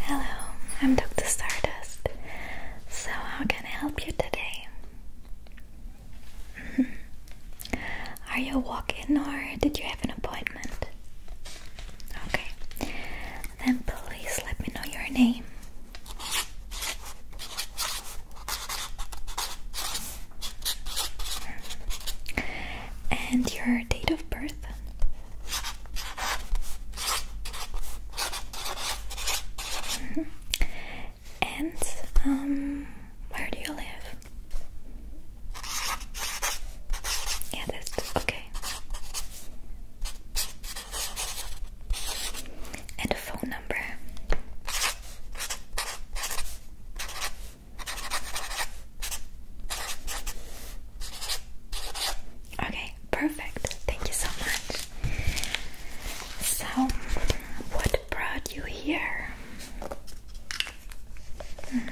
Hello, I'm Dr. Stardust. So, how can I help you today? Are you a walk in or did you have an appointment? Okay, then please let me know your name. And your date of birth? And um, where do you live? Yeah, that's okay. And a phone number. Okay, perfect. Thank you so much. So, what brought you here? Hmm.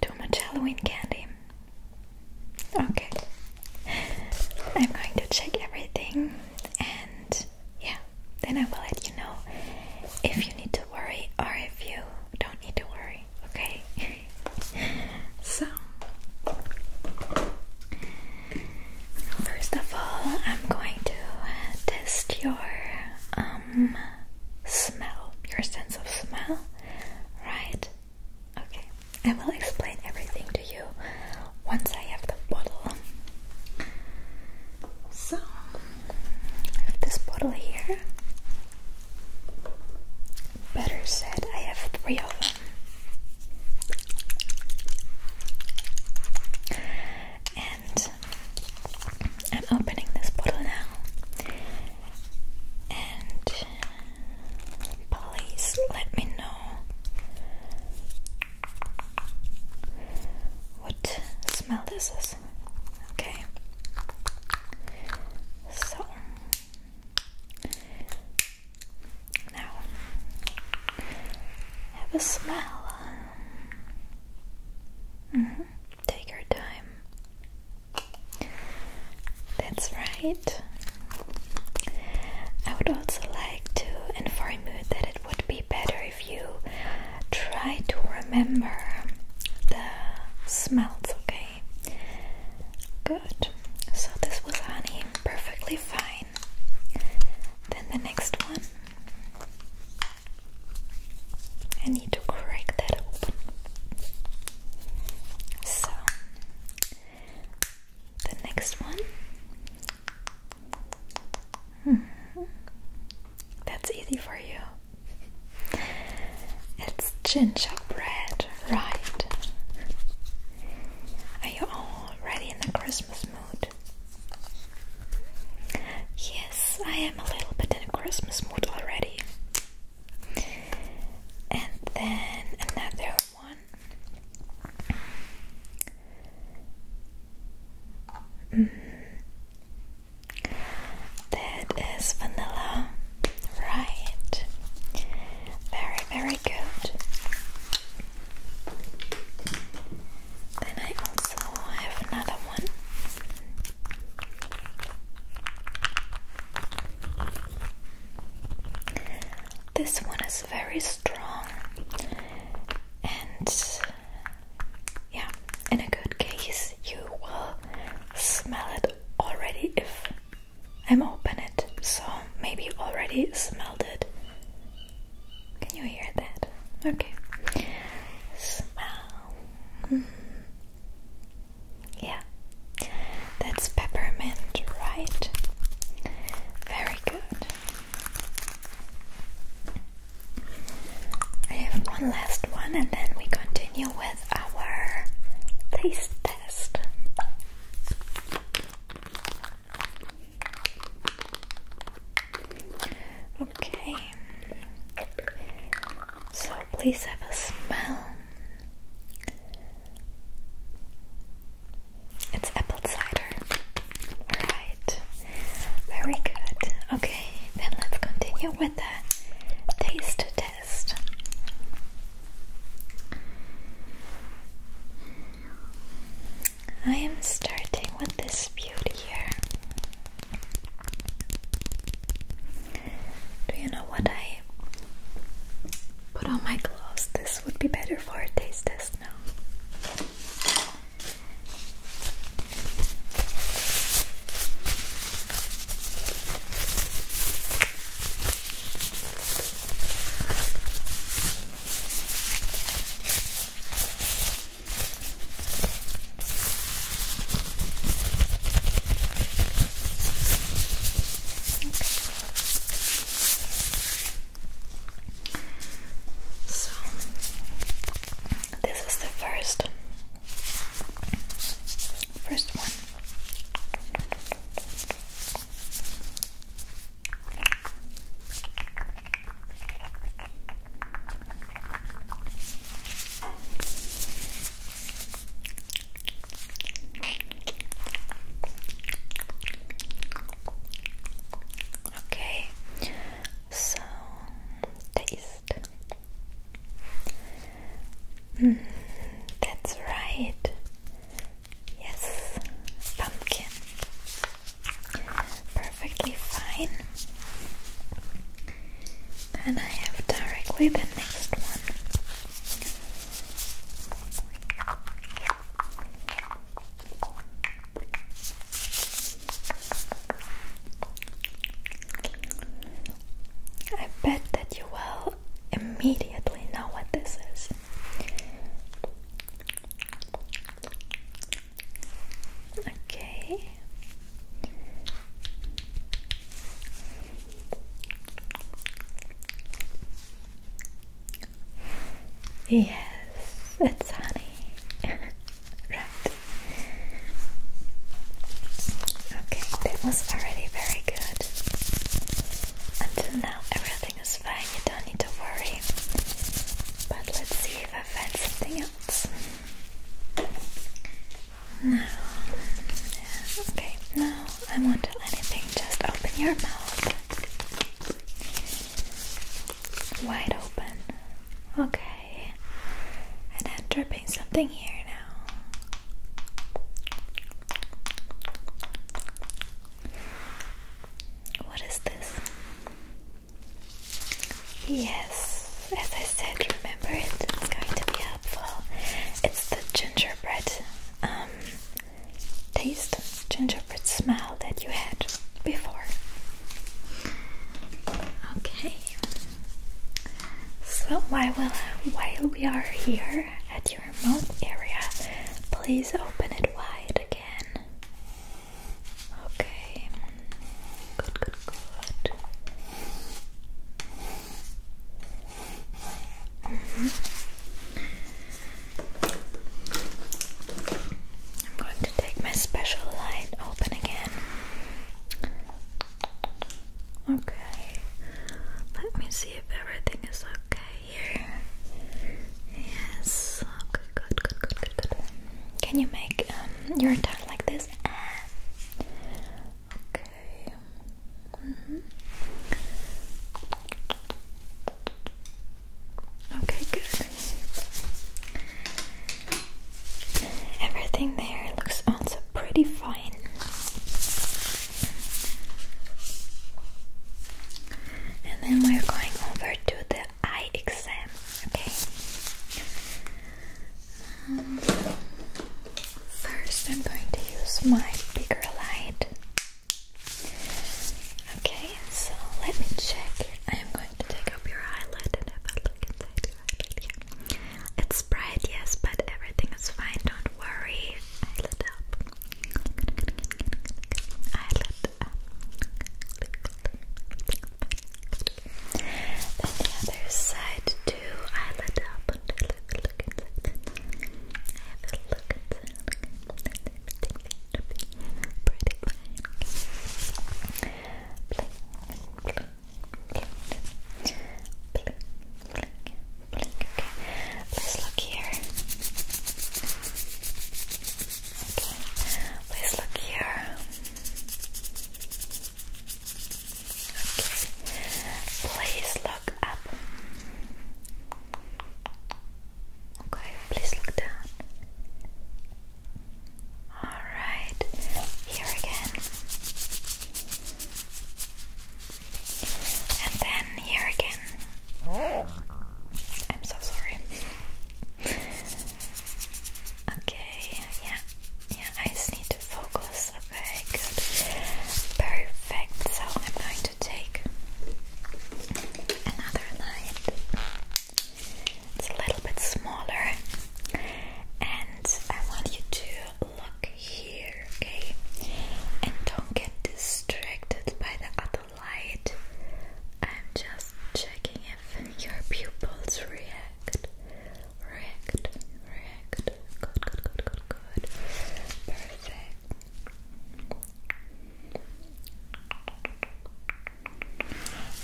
Too much Halloween candy. Okay, I'm going to check everything and yeah, then I will let you know if you need to worry or if you don't need to worry okay? so, first of all, I'm going to test your um smell, your sense of smell, right? Okay, I will explain everything to you once I have the bottle. So, I have this bottle here. Better said, I have three of them. And I'm opening this bottle now. And please let me know what smell this is. Okay. So now have a smell. Mm-hmm. Take your time. That's right. I would also like to inform you that it would be better if you try to remember the smells, okay? good. So this was honey, perfectly fine. Then the next one. I need to crack that open. So, the next one. Hmm. That's easy for you. It's gingerbread, right? Are you already in the Christmas mood? Yes, I am a little bit in a Christmas mood already. And then another one. Mm. That is vanilla, right? Very, very good. Then I also have another one. This one is very strong and yeah, in a good case you will smell it already if I'm open it. So maybe already smelled it. Can you hear that? Okay. Smell. Hmm. Yeah. That's peppermint, right? Very good. I have one last one and then we continue with our taste test. Okay, so please have a smell. It's apple cider. Alright, very good. Okay, then let's continue with the taste test. I am starting with this beauty here. Do you know what I put on my gloves? This would be better for taste test now. So, this is the first first one. Okay, so taste. Mm, that's right. Yes, pumpkin. Perfectly fine. Then I have directly the next one. I bet that you will immediately know what this is. Okay. Yes, it's honey. right. Okay, that was already very good. Until now, everything is fine, you don't need to worry. But let's see if I find something else. No. okay, now I will anything, just open your mouth. Wide open. Okay. And I'm dripping something here. What is this? Yes, as I said, remember it. It's going to be helpful. It's the gingerbread um, taste, gingerbread smell that you had before. Okay. So while while we are here at your mouth area, please open it wide again. Okay. Good, good, good. Mm-hmm. I'm going to take my special light open again. Okay, let me see if everything is okay here. Yes, good, good, good, good, good. Can you make um, your tongue like this? Okay. Mm-hmm. Okay, good. Everything there looks also pretty fine. And then we're going over to the eye exam, okay? Um, first, I'm going to use my bigger light. Okay, so let me check. I am going to take up your eyelid and have a look inside it's bright, yes, but everything is fine. Don't worry. Eyelid up. Eyelid up. the other side too. Eyelid up. And look, look inside. Have a look inside. Okay, let look here. Okay, let look here. Okay, please look up. Okay, please look down. All right, here again. And then here again. Oh. I'm so sorry. okay, yeah, yeah, I just need to focus. Okay, good. Perfect. So I'm going to take another light. It's a little bit smaller. And I want you to look here, okay? And don't get distracted by the other light. I'm just checking if your pupils react. React, react. Good, good, good, good, good. Perfect.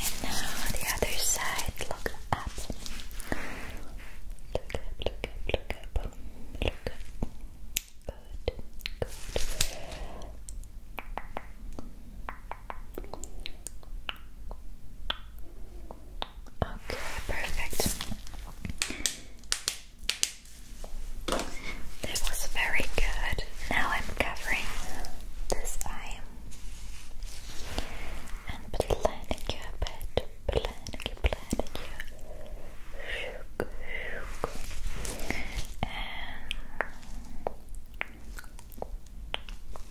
And now the other side, look up. Look up, look up, look up. Look good. Good. Good. Okay, perfect. That was very good. Now I'm covering this eye and blending you Planetary, planetary.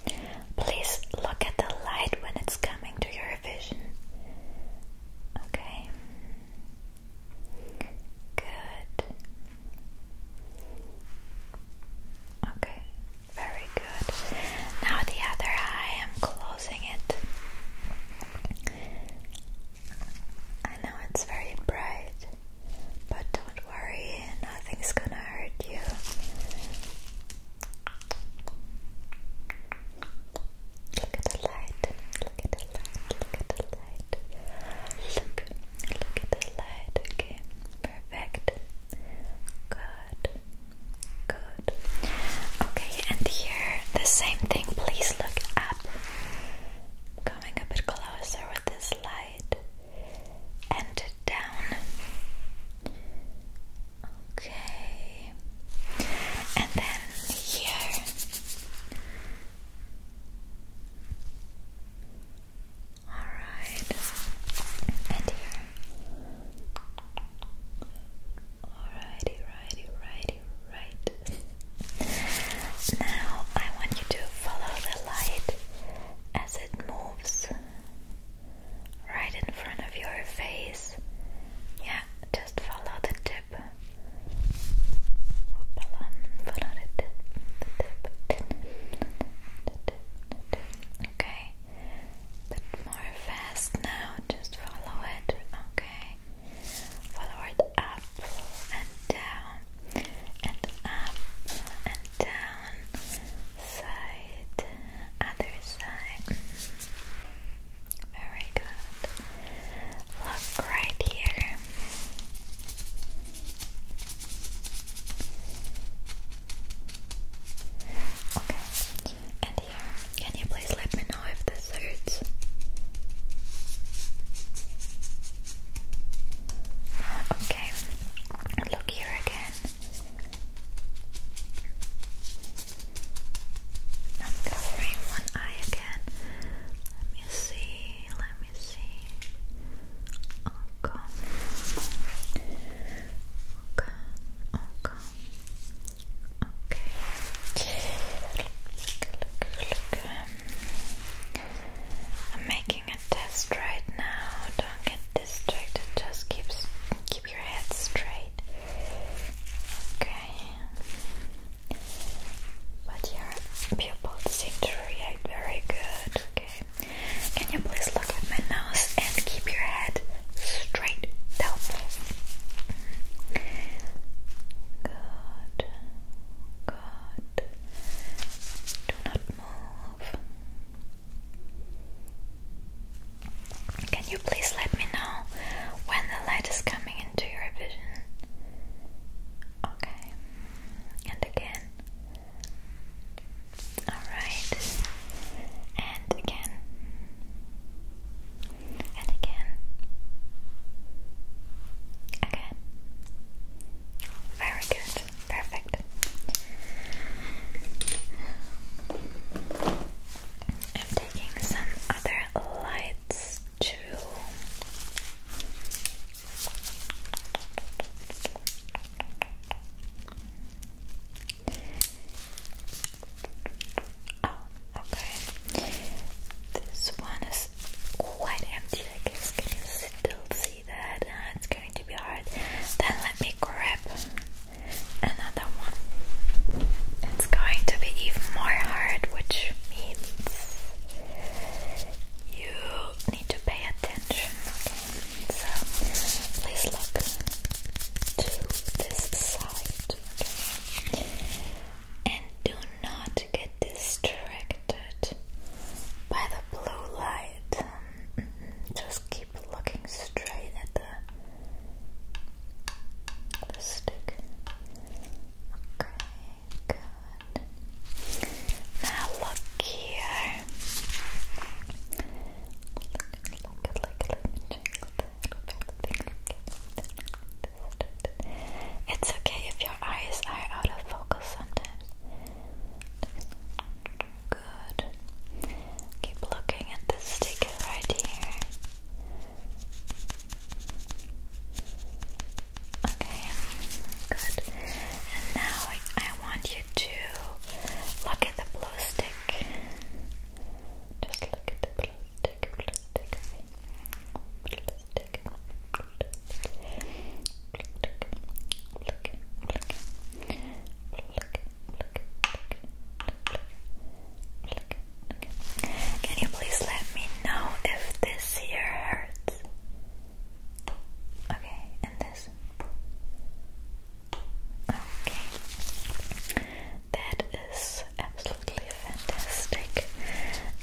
And please look at the light when it's coming to your vision. Okay. Good. Okay, very good. Now the other eye, I'm closing it. I know it's very bright, but don't worry, nothing's gonna hurt you. Look at the light, look at the light, look at the light. Look, look at the light, okay? Perfect. Good, good. Okay, and here the same thing. Please look up. Coming a bit closer with this light and down. Okay, and then here. Alright, and here. Alrighty, righty, righty, right? Now I want you to follow the light as it moves right in front of your face. Yeah, just follow the tip. Okay, more fast now, just follow it. Okay forward, up and down, and up and down, side, other side. Very good. Look right here. Okay, can you please let me know if this hurts? Okay, look here again. I'm covering one eye again. Let me see, let me see. Okay. Okay, okay. Okay. Look, look, look. I'm making a test right now. Don't get distracted. Just keep keep your head straight. Okay. But your pupils seem to react very good. Okay. Can you please look at my nose and keep your head straight down? Good. Good. Do not move. Can you please let me know when the light is coming into your vision? Okay. And again. Alright. And again and again, again. Very good, perfect. I'm taking some other lights too. Oh, Okay. This one is quite empty, I guess. Can you still see that? Uh, it's going to be hard. Then let me grab another one. It's going to be even more hard, which means you need to pay attention. Okay. So please look to this side. Okay and do not get distracted by the blue light. Just keep looking straight at the, stick. Okay, good. Now look here. It's okay if your eyes are out of focus sometimes. Good. Keep looking at this sticker right here. Okay, good. And now I want you to look at the blue stick. Just look at the blue can you please let me know if this here hurts? Okay, and this. Okay, that is absolutely absolutely fantastic.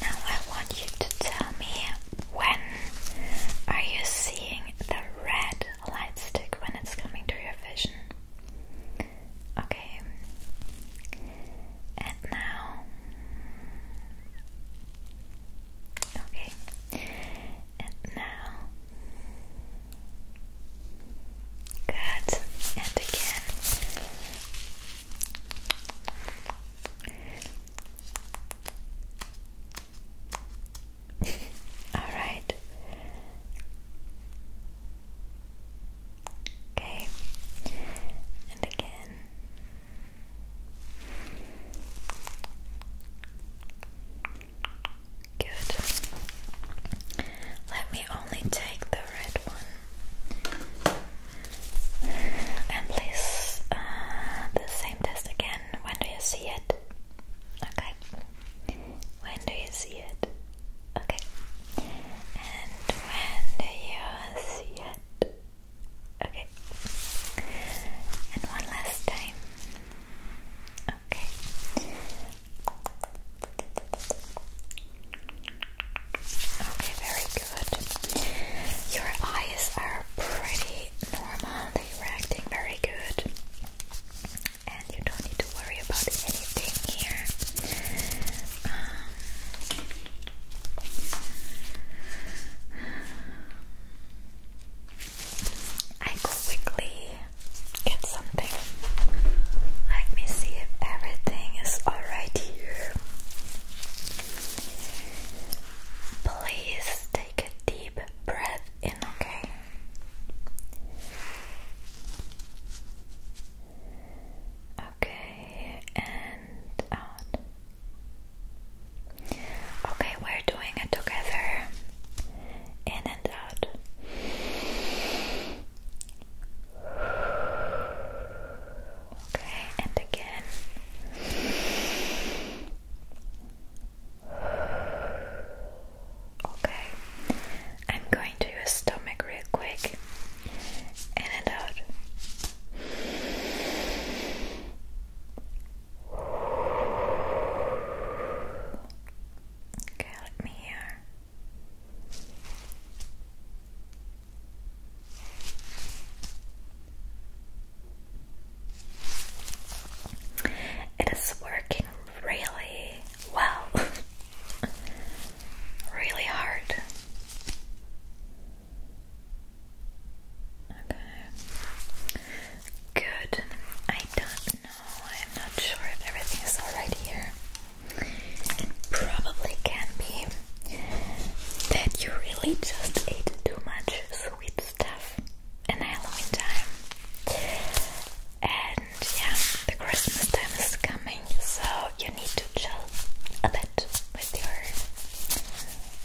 Now I want you to tell me when are you seeing the red light stick when it's coming to your vision? Okay. And now Okay. And now Good. And again. All right. Okay. And again. Good. Let me only take the red one. And please, uh, the same test again. When do you see it? Okay. When do you see it? Okay. And when do you see it? Okay. And one last time. Okay. Okay, very good. Your eyes are pretty normal, they're reacting very good. And you don't need to worry about anything here. Um, I quickly get something. Let me see if everything is alright here. Please take a deep breath in, okay? Okay, and out. Okay, we're doing it together. In and out. Okay, and again. Okay, I'm going to your stomach real quick. In and out. Okay, let me hear. It is working really well, really hard. Okay. Good. I don't know. I'm not sure if everything is alright here. probably can be that you really just ate too much sweet stuff in Halloween time. And yeah, the Christmas time is coming, so you need to chill a bit with your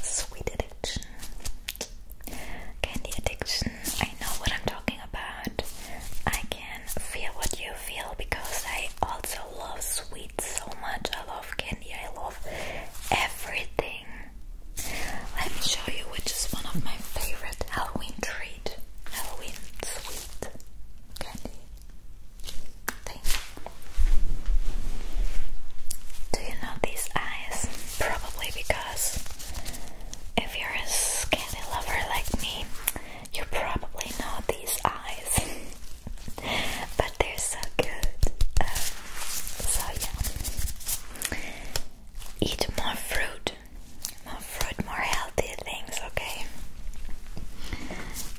sweet addiction, candy addiction. I know what I'm talking about. I can feel what you feel because I also love sweet so much. I love candy. I love everything. Let me show you which is one of my favorite Halloween treat. Halloween sweet candy thing. Do you know these eyes? Probably because if you're a candy lover like me, you probably know these eyes. but they're so good. Um, so yeah, eat more fruit, more fruit, more healthy things. Okay,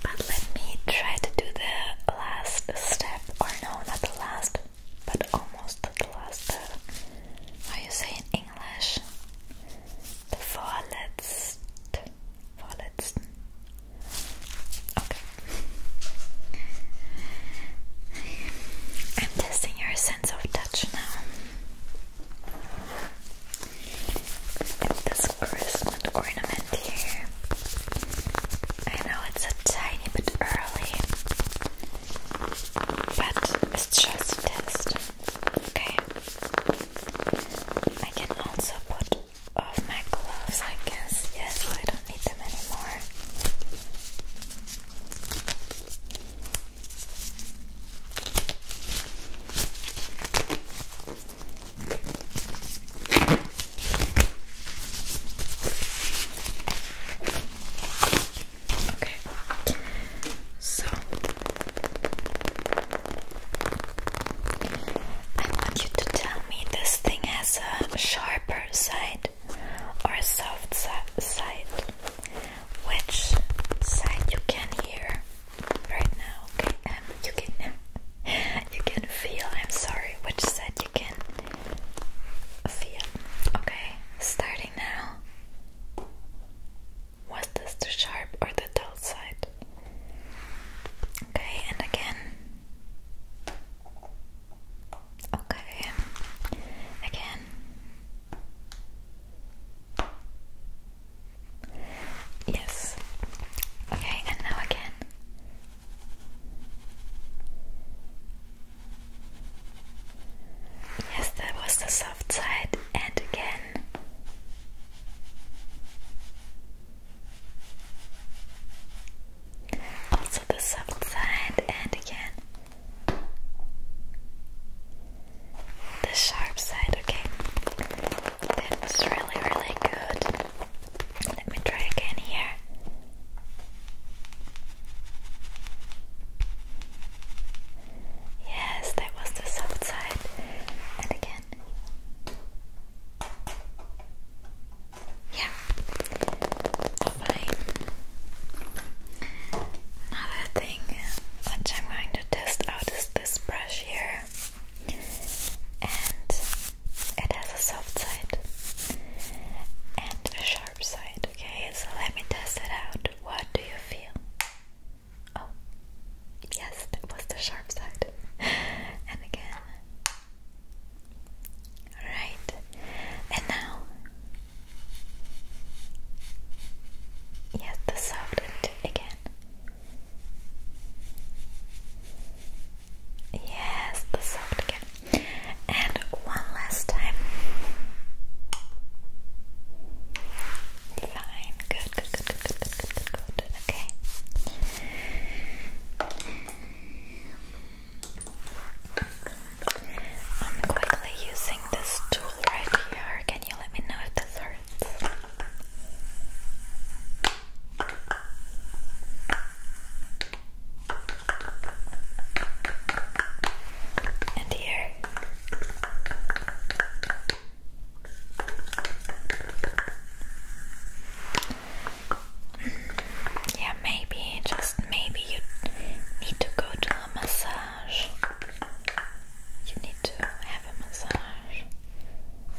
but let me try to do the last step, or no, not the last, but almost the last. Are uh, you saying English? The vorletzte, vorletzten Okay. I'm testing your sense of touch now. This Christmas ornament here. I know it's a tiny bit early, but it's just a test. Okay. I can also put of my gloves, I guess. Yes, I don't need them anymore. Okay, so I want you to tell me this thing has a sharper side or a soft side. Which side you can hear right now? Okay, um, you can you can feel. I'm sorry. Which side you can feel? Okay, starting now. Was this the sharp or the dull side? Okay, and again. Okay. Again. Yes. Okay, and now again. Yes, that was the soft side, and again. Also the soft side and again the sharp side, okay? That was really really good. Let me try again here. Yes, that was the soft side. And again. Yeah. Fine. Another thing which I'm going to test out is this brush here. And it has a soft side and a sharp side. Okay, so let me test it out. What do you feel? Oh, yes, that was the sharp side. and again, Right, and now, yes, the soft end again. Yes, the soft again, and one last time. Fine, good, good, good, good, good, good, good. Okay. I'm quickly using this tool right here. Can you let me know if this hurts? And here. Yeah, maybe, just maybe you need to go to a massage. You need to have a massage.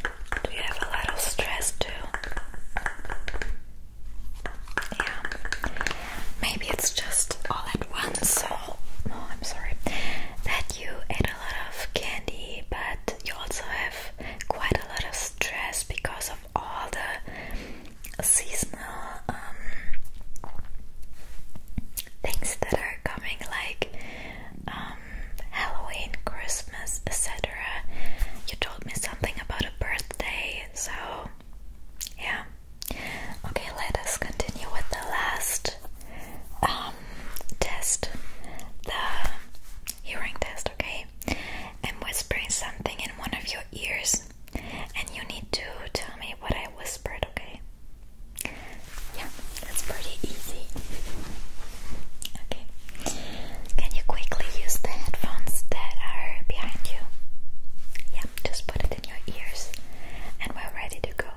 Do you have a lot of stress too? Yeah. Maybe it's just all at once, so no, I'm sorry. That you ate a lot of candy, but you also have quite a lot of stress because of all the seasonal um, things that are coming, like um, Halloween, Christmas, etc. You told me something about a birthday, so yeah. Okay, let us continue with the last um, test. The hearing test, okay? I'm whispering something in one of your ears, and you need to tell me what I whispered, okay? Yeah, that's pretty easy. Okay. Can you quickly use the headphones that are behind you? Yeah, just put it in your ears, and we're ready to go.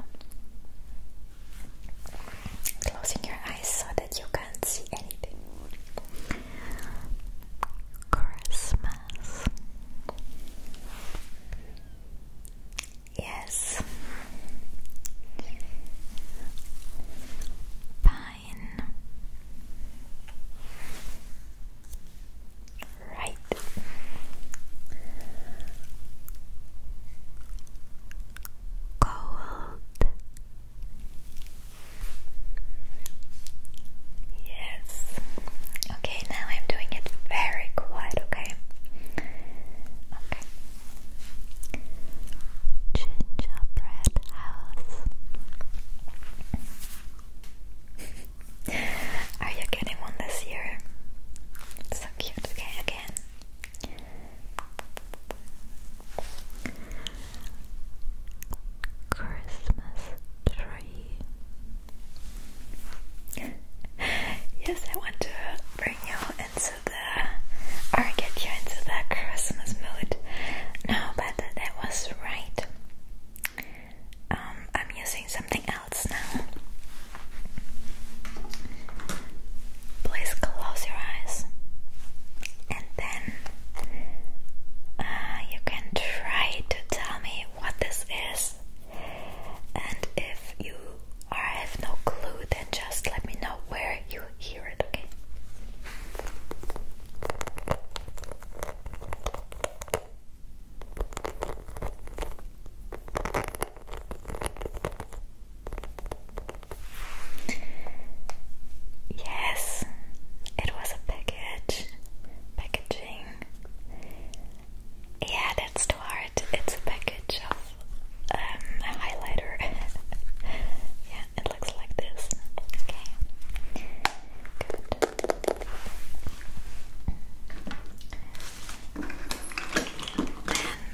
Closing your eyes so that you can't see anything. Christmas. Yes. Pine. Right. Cold. Yes. Okay, now I'm doing it very quiet, okay? Okay. Gingerbread house. Are you getting one this year? so cute. Okay, again. Christmas tree. yes, I want to bring you into the or get you into the Christmas mood. No, but that was right. Um, I'm using something else now. Please close your eyes and then uh, you can try to tell me what this is, and if you are, have no clue, then just let me know where you hear it, okay? Yes, it was a pig package, packaging. Yeah, that's too hard. It's a package of um, a highlighter. yeah, it looks like this. Okay, good.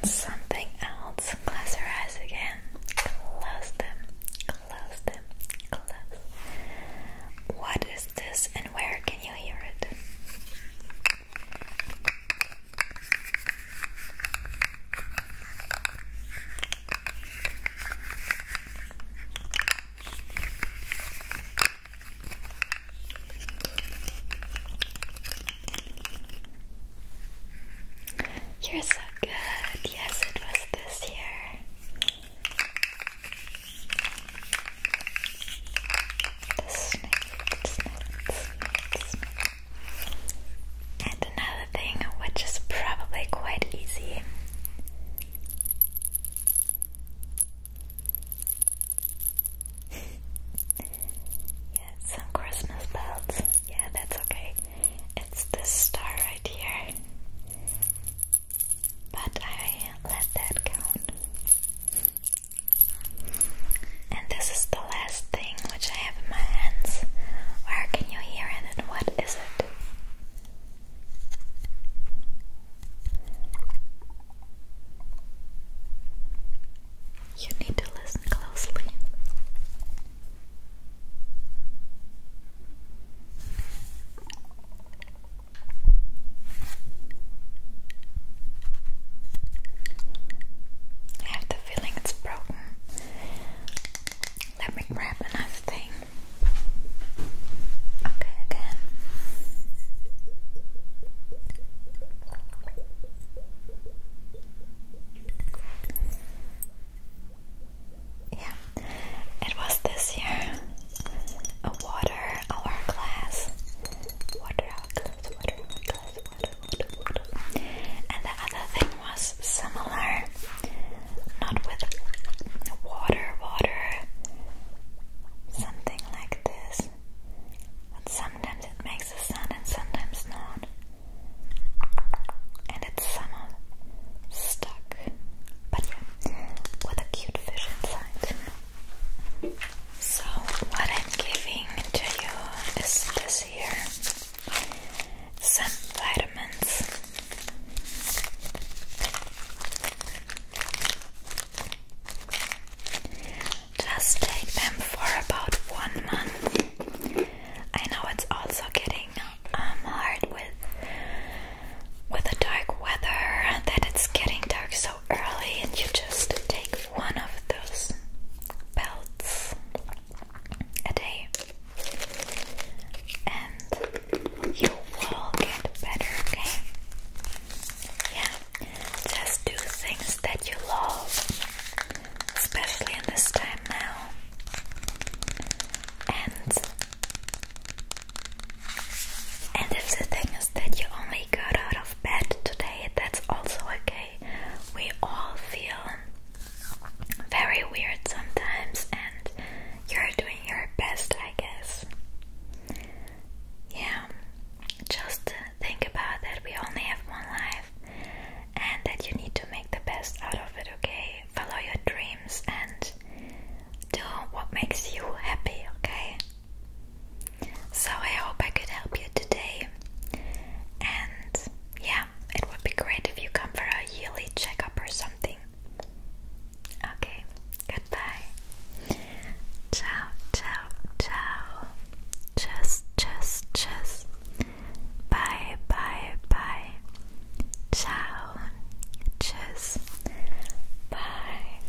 Then something else. Close your eyes again. Close them. Close them. Close. What is this and where can you hear it? You're so good. Yes, it was this year. And another thing, which is probably quite easy. yeah, some Christmas bells. Yeah, that's okay. It's this star right here but I let that count. And this is the last thing which I have in my hands. Where can you hear it and what is it? You need to listen closely. I have the feeling it's broken. Let me grab another thing. Okay, again. Yeah, it was this year. A water hour class. Water hour water water, And the other thing was similar. Not with water, water. Something like this. But sometimes it makes a sound and sometimes not. And it's somehow stuck but yeah, a cute fish inside. So, what I'm giving to you is this here some vitamins. Just take them for about one month. I know it's also getting um, hard with with the dark weather and that it's getting dark so early, and you just take one of those belts a day, and you will get better, okay? Yeah, just do things that you love, especially in this time now, and and if the thing is that you only got out of bed today, that's also okay. We all feel very weird sometimes, and you're doing your best, I guess. Yeah, just think about that we only have one life and that you need to make the best out of it, okay? Follow your dreams and do what makes you happy, okay? So I hope I could help you today. And yeah, it would be great if you come for a yearly checkup or something. Okay, goodbye. Ciao, ciao, ciao. Tschüss, tschüss, tschüss. Bye, bye, bye. Ciao. Tschüss. Bye.